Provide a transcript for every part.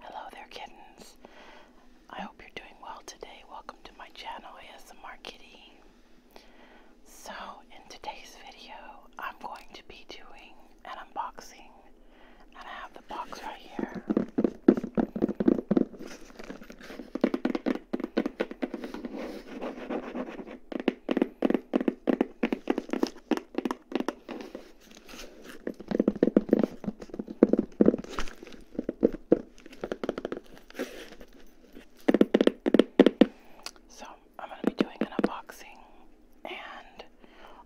Hello there, kittens. I hope you're doing well today. Welcome to my channel, ASMR Kitty. So, in today's video, I'm going to be doing an unboxing, and I have the box right here. So, I'm going to be doing an unboxing and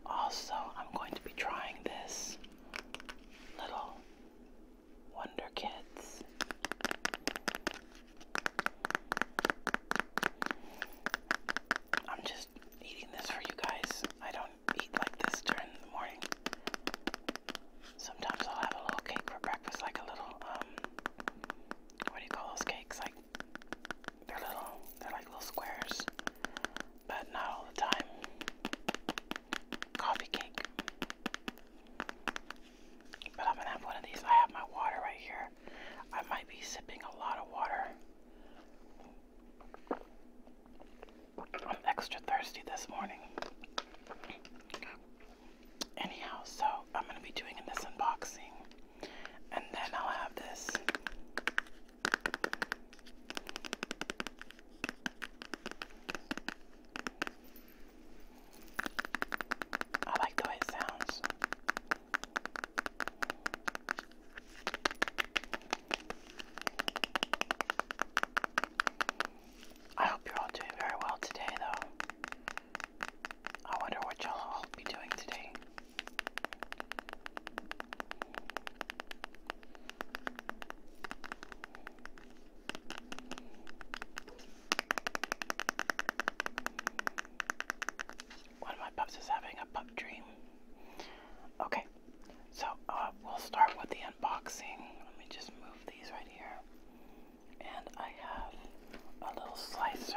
also I'm going to be trying this little Wonder Kids. I'm just eating this for you guys. I don't eat like this during the morning. Sometimes I'll have a little cake for breakfast, like a little, um, what do you call those cakes? Like, they're little, they're like little squares, but not all the time. Coffee cake. But I'm gonna have one of these. I have my water right here. I might be sipping a lot of water. I'm extra thirsty this morning. Anyhow, so I'm going to be doing this unboxing and then I'll have this. I like the way it sounds. I hope you're all doing very well today, though. I wonder what y'all all be doing today. One of my pups is having a pup dream. Okay, so uh, we'll start with the unboxing. Let me just move these right here. And I have a little slicer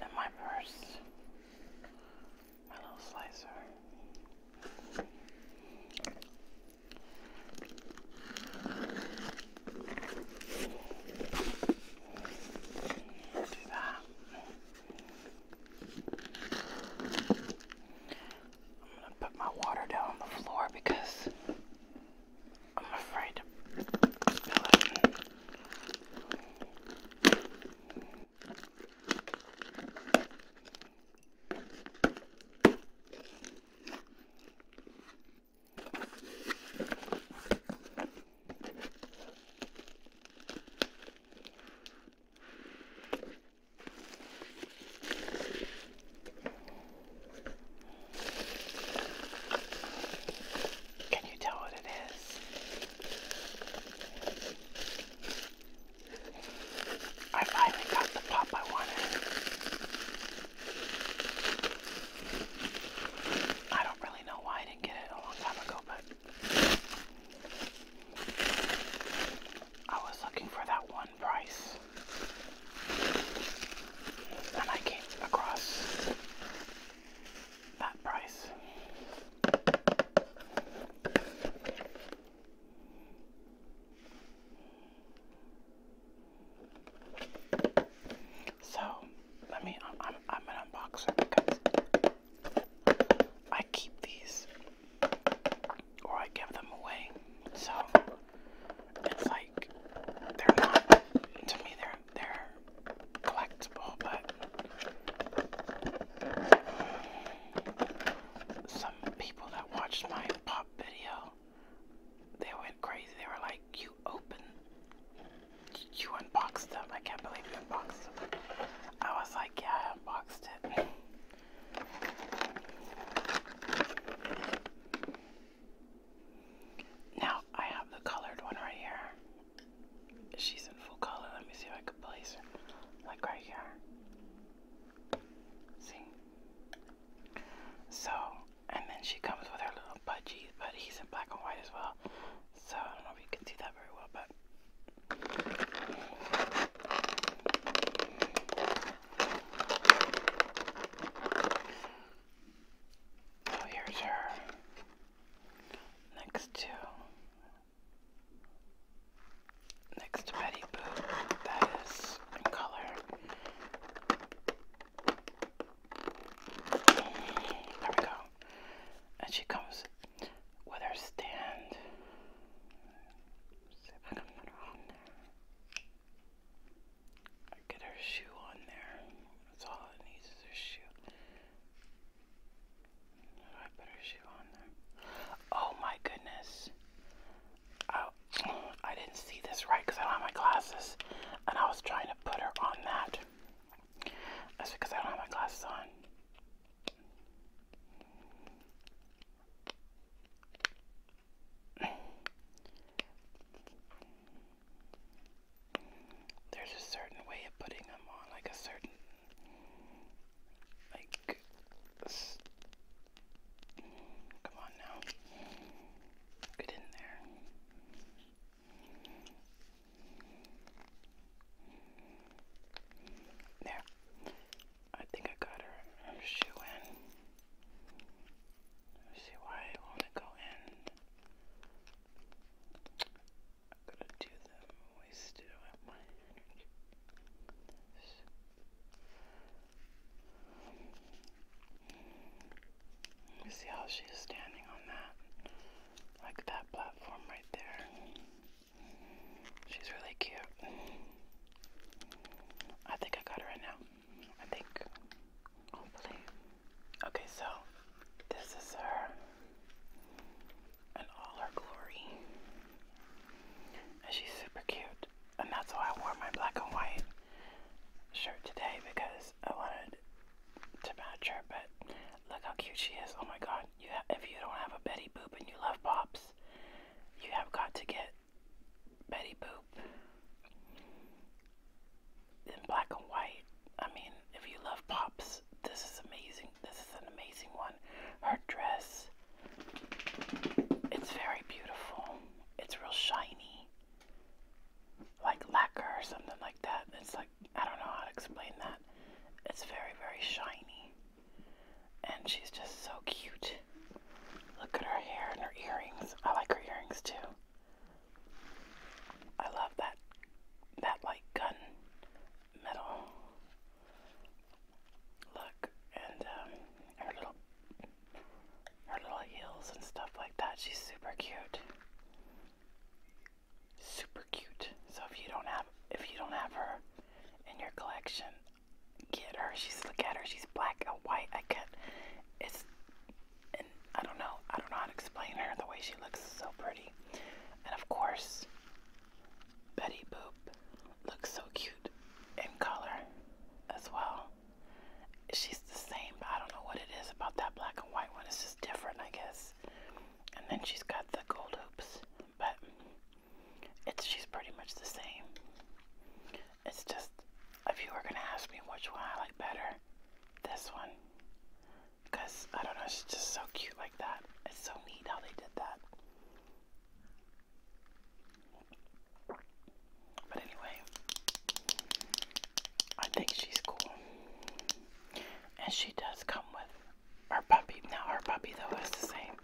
in my purse. My little slicer. Do that. I'm gonna put my water down on the floor because I'm afraid to spill it. Can you tell what it is? I finally got the pop I wanted. I don't really know why I didn't get it a long time ago, but I was looking for that one price, and I came across that price. So let me. I'm. I'm, an unboxer I keep these or I give them away. So it's like they're not to me they're they're collectible but some people that watched my pop video they went crazy. They were like, You open you unboxed them. I can't believe you unboxed them. I was like, yeah, I unboxed it. Now I have the colored one right here. She's in full color. Let me see if I can place her. Like right here. See? So, and then she comes with her little budgie, but he's in black and white as well. So I don't know if you can see that very well, but so oh, here's her next to next Betty Boo that is color. There we go and she comes with her stand. I get her shoe on there. That's all it needs is her shoe. I put her shoe on there. Oh my goodness. Oh, I didn't see this right because I do my glasses. And I was trying to put her on that. That's because I don't have my glasses on. There's a certain way of putting them on, like a certain, like, come on now, get in there. There. I think I got her, shoe in. Let's see why I want to go in. I'm gonna do them. Always do my Let me see how she's standing on that. Like that platform right there. She's really cute. I think I got her right now. I think. Hopefully. Okay, so this is her and all her glory. And she's super cute. And that's why I wore my black and white shirt today because I wanted to match her, but Look how cute she is. Oh my god. You have, if you don't have a Betty Boop and you love Pops, you have got to get Betty Boop in black and white. I mean, if you love Pops, this is amazing. This is an amazing one. Her dress, it's very beautiful. It's real shiny. Like lacquer or something like that. It's like I don't know how to explain that. It's very, very shiny. And she's just so cute. Look at her hair and her earrings. I like her earrings too. I love that that like gun metal look and um, her little her little heels and stuff like that. She's super cute super cute. So if you don't have if you don't have her in your collection, get her. She's look at her. She's black and white. I could. It's I don't know. I don't know how to explain her. The way she looks so pretty. And of course, Betty Boop looks so cute in color as well. She's the same, I don't know what it is about that black and white one. It's just different, I guess and then she's got the gold hoops, but it's she's pretty much the same. It's just if you were gonna ask me which one I like better, this one, because I don't know, she's just so cute like that. It's so neat how they did that. But anyway, I think she's cool, and she does come with our puppy, now Our puppy though is the same.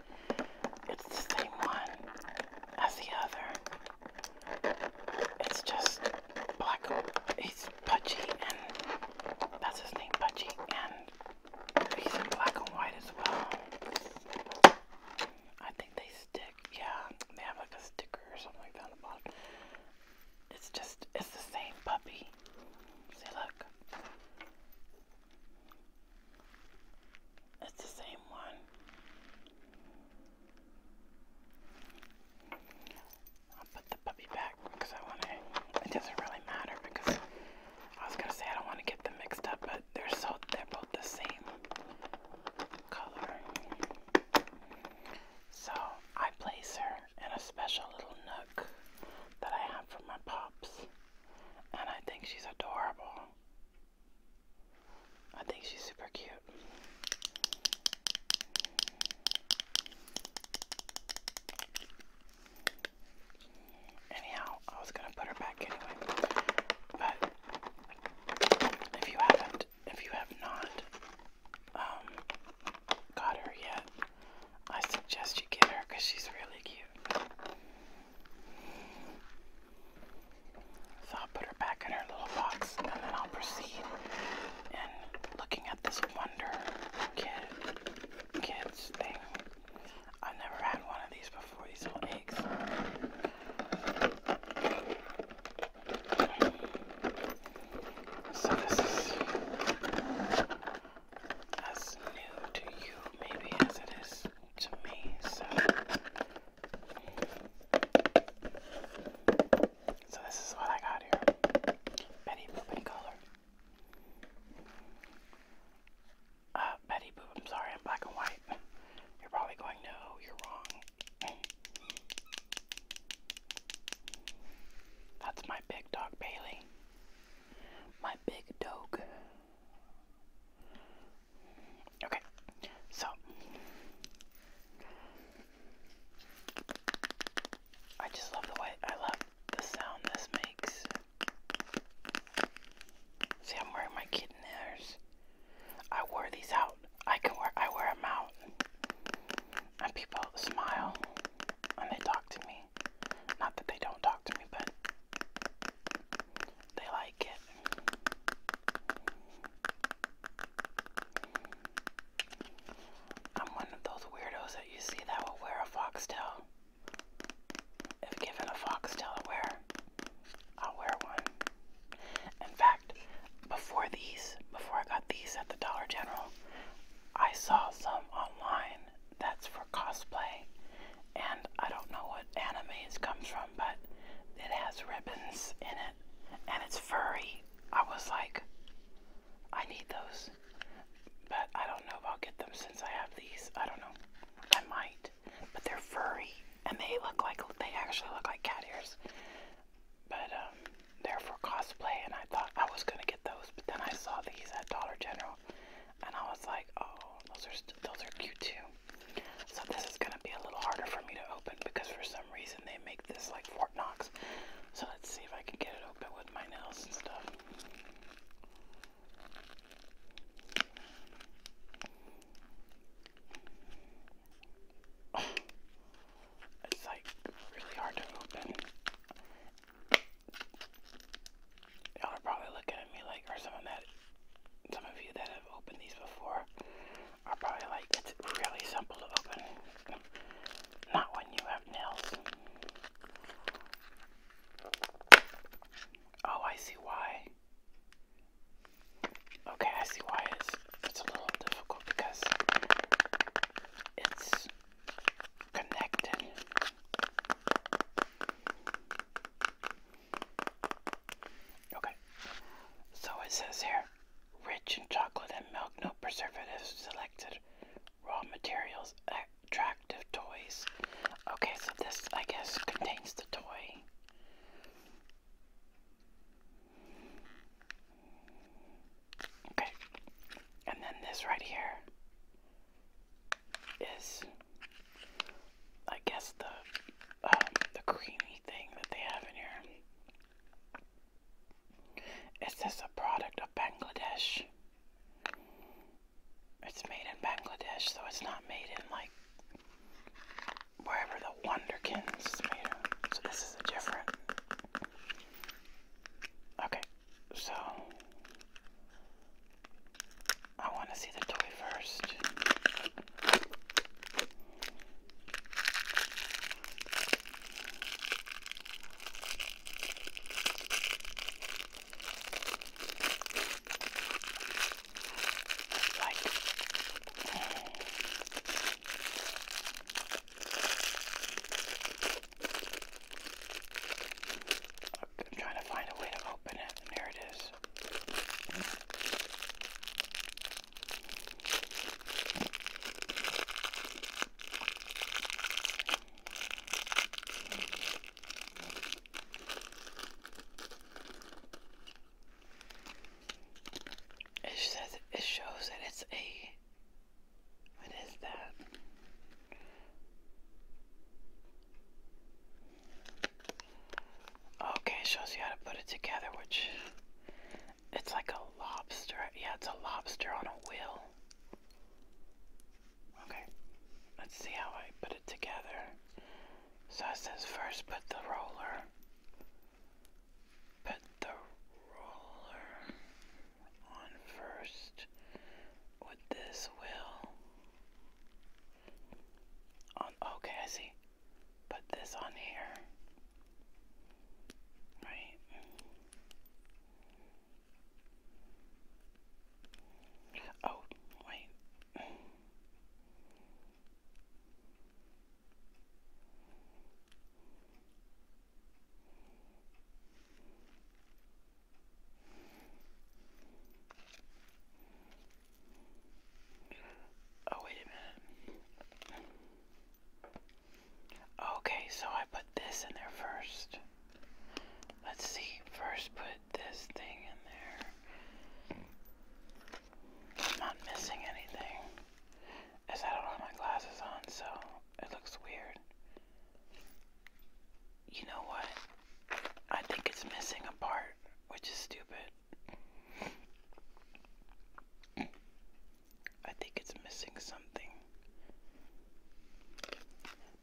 It's the same one as the other. It's just black. He's Pudgy, and that's his name, Pudgy, and he's in black and white as well. I think they stick. Yeah, they have like a sticker or something like that it's just, it's the same puppy. See, look. It's the same one. I'll put the puppy back because I want to, it doesn't really matter because I was going to say I don't want to get them mixed up, but they're so, they're both the same color. So I place her in a special little nook that I have for my pups. And I think she's adorable. I think she's super cute. Anyhow, I was gonna put her back anyway. But if you haven't, if you have not um, got her yet, I suggest you get her because she's really cute. So I'll put her back in her little box and then I'll proceed in looking at this Wonder Kid Kids thing. I've never had one of these before, these little eggs. So this is as new to you maybe as it is to me. So So this is what I got here. Betty Boop in color. Uh Betty Boop, I'm sorry, I'm black and white. You're probably going, no, you're wrong. That's my big dog, Bailey. My big dog. Okay, so I just love the way I love the sound this makes. See, I'm wearing my kitten ears. I wore these out. I can wear I wear them out, and people smile. And they talk to me. Not that they don't talk to me, but they like it. I'm one of those weirdos that you see that will wear a foxtail. If given a foxtail to wear, I'll wear one. In fact, before these, before I got these at the Dollar General, I saw some online that's for cosplay, and I don't know what anime comes from, but it has ribbons in it, and it's furry. I was like, I need those, but I don't know if I'll get them since I have these. I don't know. I might, but they're furry, and they look like they actually look like cat ears but um, they're for cosplay, and I thought I was gonna get those, but then I saw these at Dollar General, and I was like, oh, those are those are cute too. So this is gonna be a little harder for me to open because for some reason they make this like Fort Knox. So let's see if I can get it open with my nails and stuff. It's like really hard to open. Y'all are probably looking at me like, or some of that, some of you that have opened these before are probably like, it's really simple to open. Not when you have nails. Oh, I see why. Okay, I see why it's, it's a little difficult because it's connected. Okay, so it says here rich in chocolate and milk, no preservatives selected, raw materials, attractive toys. Okay, so this, I guess, contains the toy. Okay. And then this right here is, I guess, the um, the creamy thing that they have in here. Is this a product of Bangladesh? It's made in Bangladesh, so it's not made in like wherever the Wonderkins is made. So this is a different Okay, so I want to see the toy first. Like, mm. I'm trying to find a way to open it, there it is. It says it shows that it's a what is that? Okay, shows you how to put it together, which it's like a lobster. Yeah, it's a lobster on a wheel. Okay, let's see how I put it together. So it says first put the roller Put the roller on first with this wheel. On, okay, I see. Put this on here. Right. Oh, wait. Oh, wait a minute. Okay, so I put this in there first. Let's see, first put this thing in there. I'm not missing anything is I don't have my glasses on, so it looks weird. You know what? I think it's missing a part, which is stupid. I think it's missing something.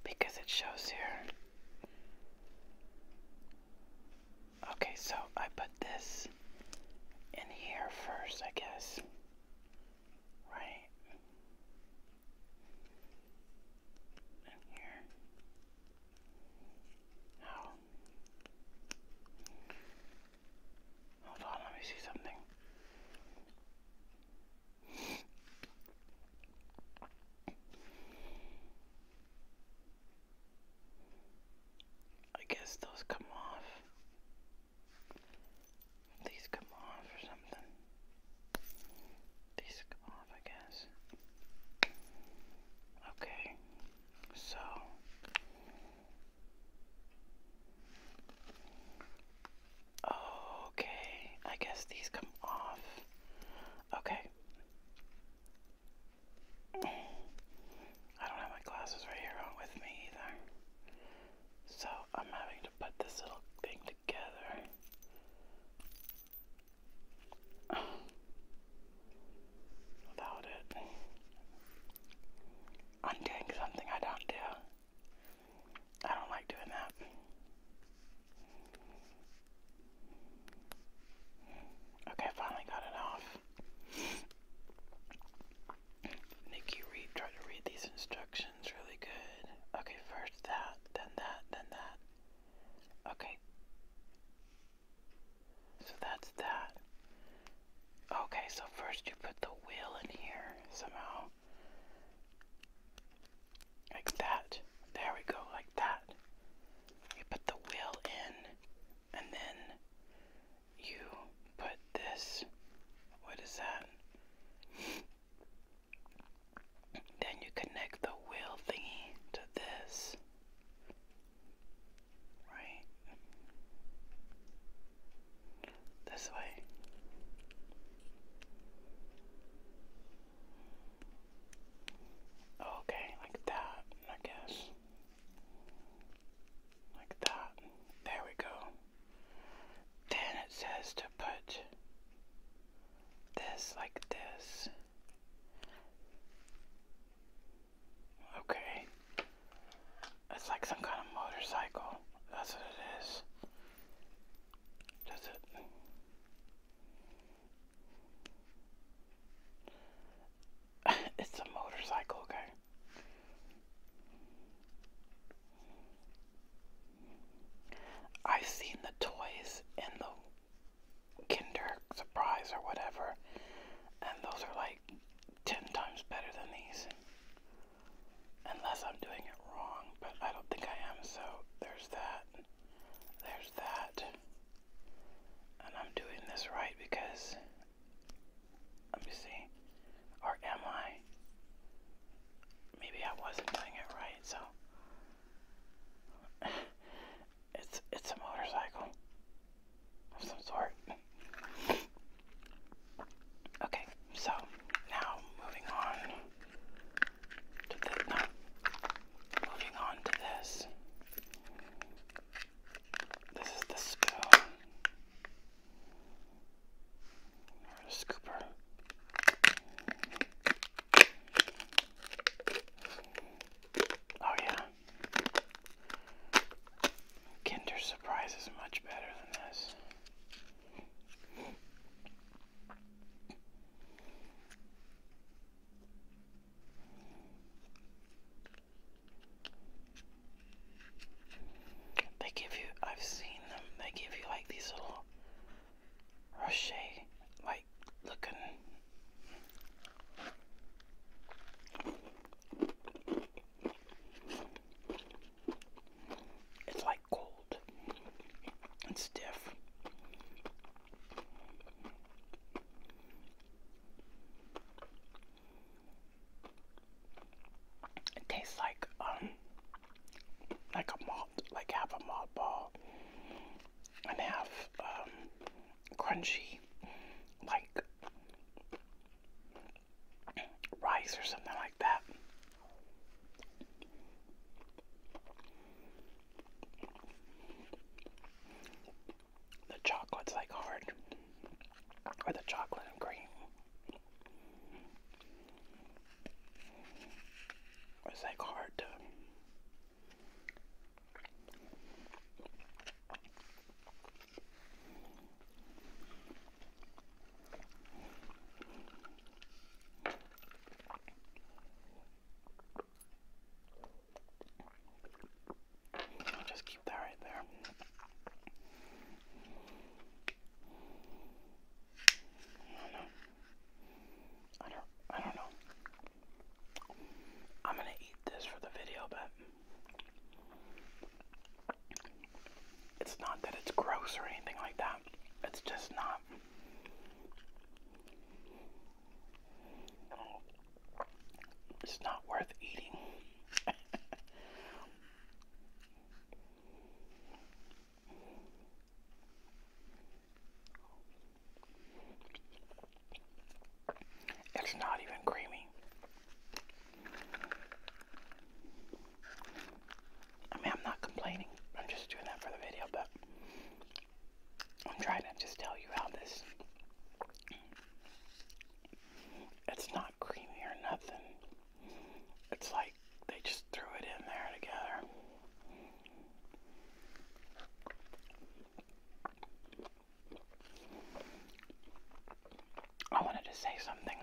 Because it shows here. Okay, so I put this in here first, I guess right in here. Now, hold on, let me see something. I guess those come off. These come off or something. These come off, I guess. Okay, so okay, I guess these come off. Okay. I don't have my glasses right here on with me either. So I'm having to put this little thing together. Without it, I'm doing something I don't do. I don't like doing that. Okay, finally got it off. Nikki Reed tried to read these instructions really good. Okay, first that, then that, then that. Okay. So that's that. Okay, so first you put the wheel in here somehow. Like that. There we go, like that. You put the wheel in, and then you put this, what is that? Then you connect the wheel thingy to this. Right? This way. Okay, like that, I guess. Like that. There we go. Then it says to put this like this. Okay. It's like some kind of motorcycle. That's what it is. Does it? it's a motorcycle, okay. I've seen the toys in the Kinder Surprise or whatever, and those are like 10 times better than these. Unless I'm doing it wrong, but I don't think I am, so there's that. There's that. And I'm doing this right because let me see. Or am I? Maybe I wasn't doing it right, so it's it's a motorcycle of some sort. Okay, so now moving on to this. No, moving on to this. This is the spoon scooper. Oh yeah. Kinder Surprise is much better than this. They give you, I've seen them, they give you like these little rochet like looking. It's like gold and stiff. It tastes like um like a malt, like half a malt ball and half um crunchy like rice or something like that. The chocolate's like hard or the chocolate and cream it's like hard to just keep that right there don't know. I don't. I don't know. I'm gonna eat this for the video, but it's not that it's gross or anything like that. It's just not. It's not worth eating. It's not even creamy. I mean, I'm not complaining. I'm just doing that for the video, but I'm trying to just tell you how this it's not creamy or nothing. It's like they just threw it in there together. I wanted to say something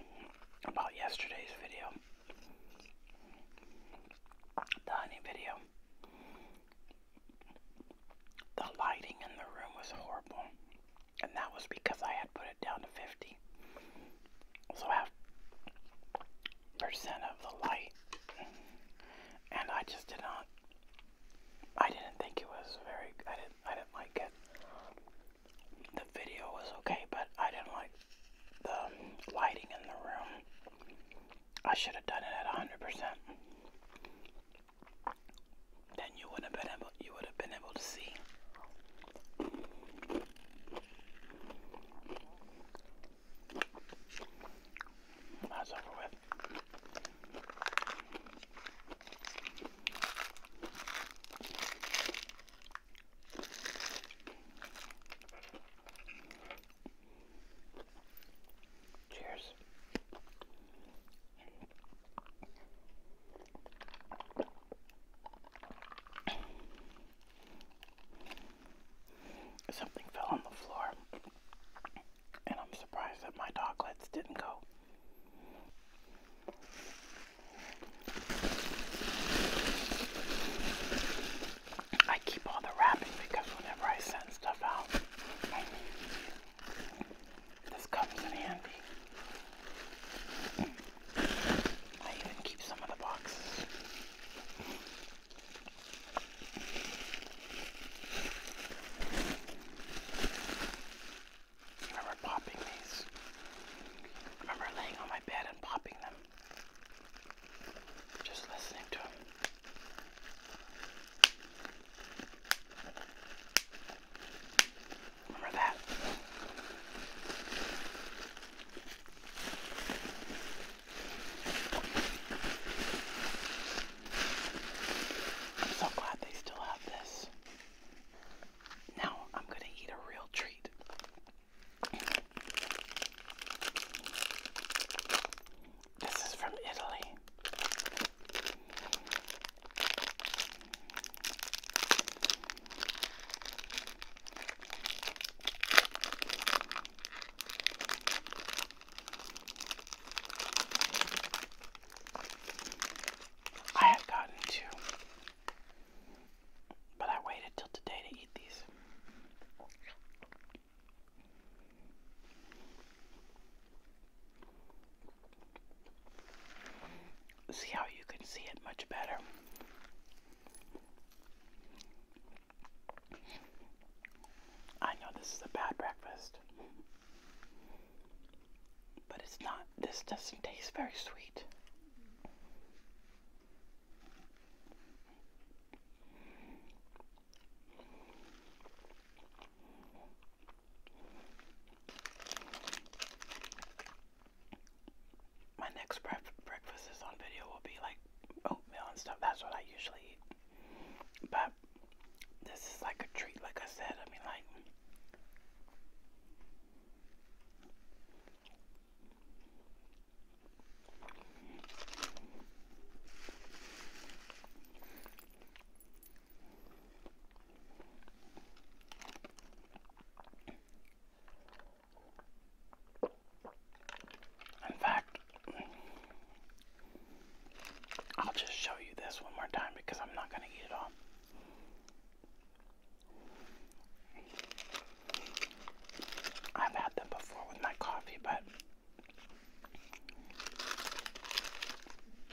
about yesterday's video. The honey video. The lighting in the room was horrible and that was because I had put it down to 50. So half percent of the light, and I just did not. I didn't think it was very. I didn't. I didn't like it. The video was okay, but I didn't like the lighting in the room. I should have done it at 100% then you would have been able you would have been able to see that's over with. Cheers. Something fell on the floor, and I'm surprised that my doglets didn't go. I keep all the wrapping because whenever I send stuff out, this comes in handy. I even keep some of the boxes. Remember popping these? Remember laying on my bed and popping them? Just listening to them. Remember that? I'm so glad they still have this. Now I'm going to eat a real treat. This is from Italy. I have gotten two, but I waited till today to eat these. See how you can see it much better. I know this is a bad breakfast, but it's not, this doesn't taste very sweet. My next breakfast is on video will be like oatmeal and stuff. That's what I usually eat. But this is like a treat, like I said. I mean, like. In fact, I'll just show you this one more time because I'm not going to eat it all. I've had them before with my coffee, but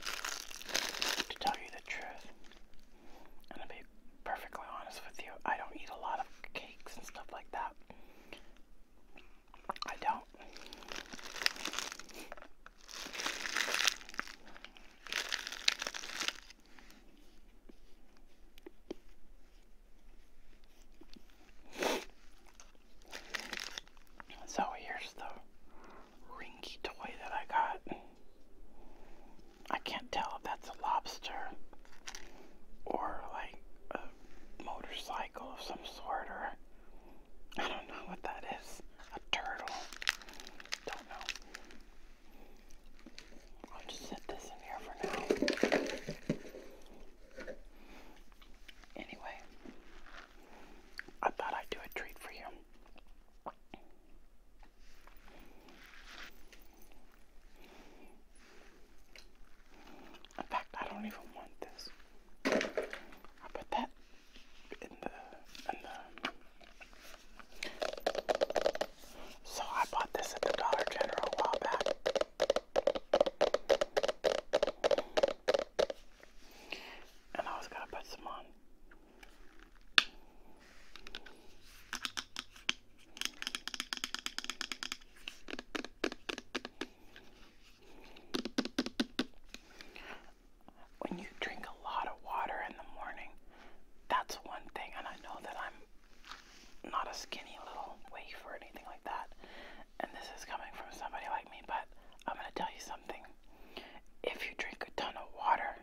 to tell you the truth, and to be perfectly honest with you, I don't eat a lot of cakes and stuff like that. I don't. So here's the rinky toy that I got. I can't tell if that's a lobster or like a motorcycle of some sort or I don't know what that is. A turtle. Don't know. I'll just set this in here for now. Anyway, I thought I'd do a treat for you. In fact, I don't even want this. i put that in the, in the. So I bought this at the Dollar General a while back and I was gonna put some on. When you drink a lot of water in the morning, that's one thing, and I know that I'm not a skinny little waif or anything like that, and this is coming from somebody like me, but I'm gonna tell you something if you drink a ton of water,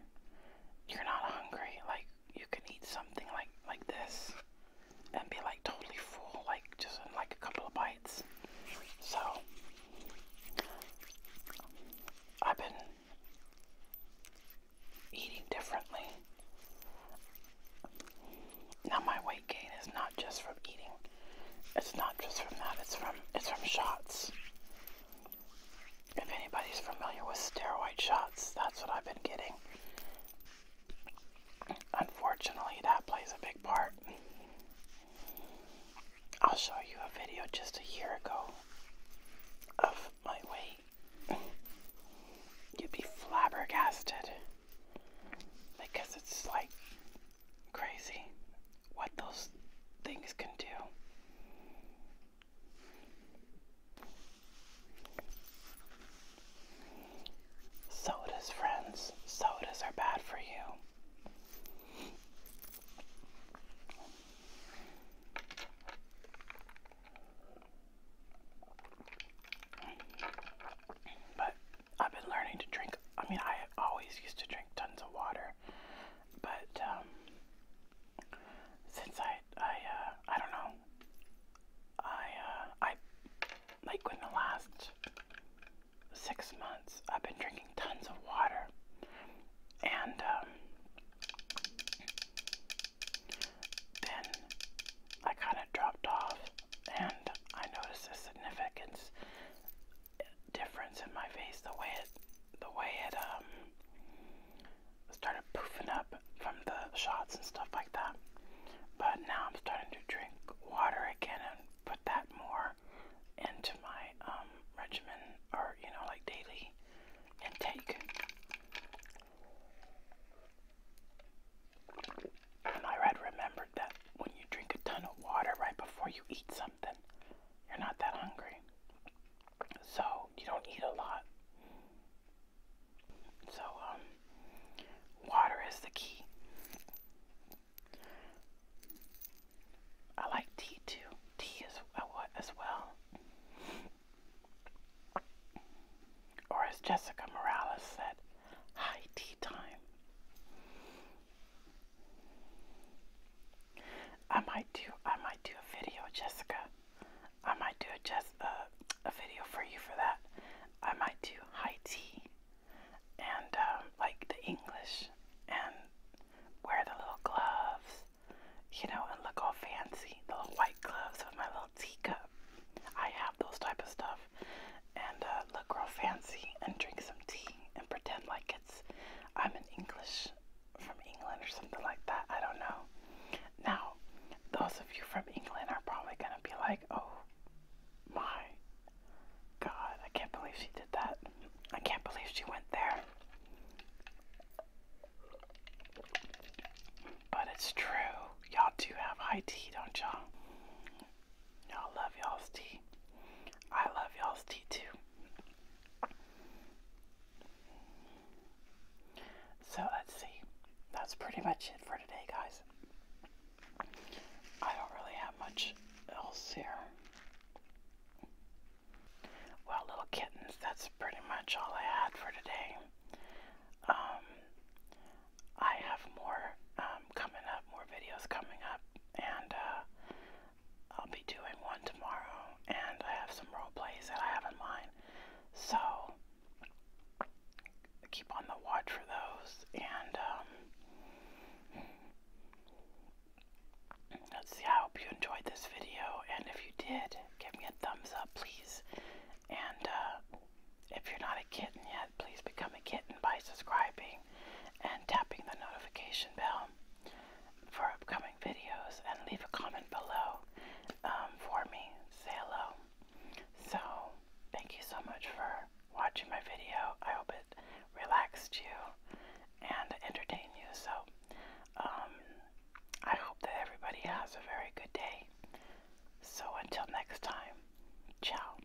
you're not hungry. Like you can eat something like like this and be like totally full, like just in like a couple of bites. So I've been eating differently. Now my weight gain is not just from eating it's not just from that, it's from it's from shots. If anybody's familiar with steroid shots, that's what I've been getting. Unfortunately, that plays a big part. I'll show you a video just a year ago of my weight. You'd be flabbergasted because it's like crazy what those things can do. Sodas, friends, sodas are bad for you. But I've been learning to drink. I mean, I always used to drink tons of water. But um, since I I uh, I don't know I uh, I like in the last six months I've been drinking tons of water and um, then I kind of dropped off and I noticed the significance difference in my face the way it the way it um started poofing up from the shots and stuff like that. But now I'm starting to drink water again and put that more into my um regimen or you know like daily intake. And I had remembered that when you drink a ton of water right before you eat something you're not that hungry. So you don't eat a lot. So, um, water is the key. I like tea too. Tea is uh, as well. Or as Jessica Morales said, high tea time. I might do I might do a video, Jessica. I might do a just uh, a video for you for that. I might do high tea and um, like the English and wear the little gloves, you know, and look all fancy. The little white gloves with my little teacup. I have those type of stuff and uh, look real fancy and drink some tea and pretend like I'm an English from England or something like that. I don't know. Now, those of you from England are probably gonna be like, oh my god, I can't believe she did that. I can't believe she went there. But it's true. Y'all do have high tea, don't y'all? Y'all love y'all's tea. I love y'all's tea too. So let's see. That's pretty much it for today, guys. I don't really have much else here. Well, little kittens, that's pretty much all I had for today. Um, I have more um, coming up, more videos coming up, and uh, I'll be doing one tomorrow, and I have some role plays that I have in mind. So keep on the watch for those, and um, let's see. I hope you enjoyed this video, and if you did, give me a thumbs up, please. And uh, if you're not a kitten yet, please become a kitten by subscribing and tapping the notification bell for upcoming videos and leave a comment below um, for me. Say hello. So, thank you so much for watching my video. I hope it relaxed you and entertained you. So, um, I hope that everybody has a very good day. So, until next time, ciao.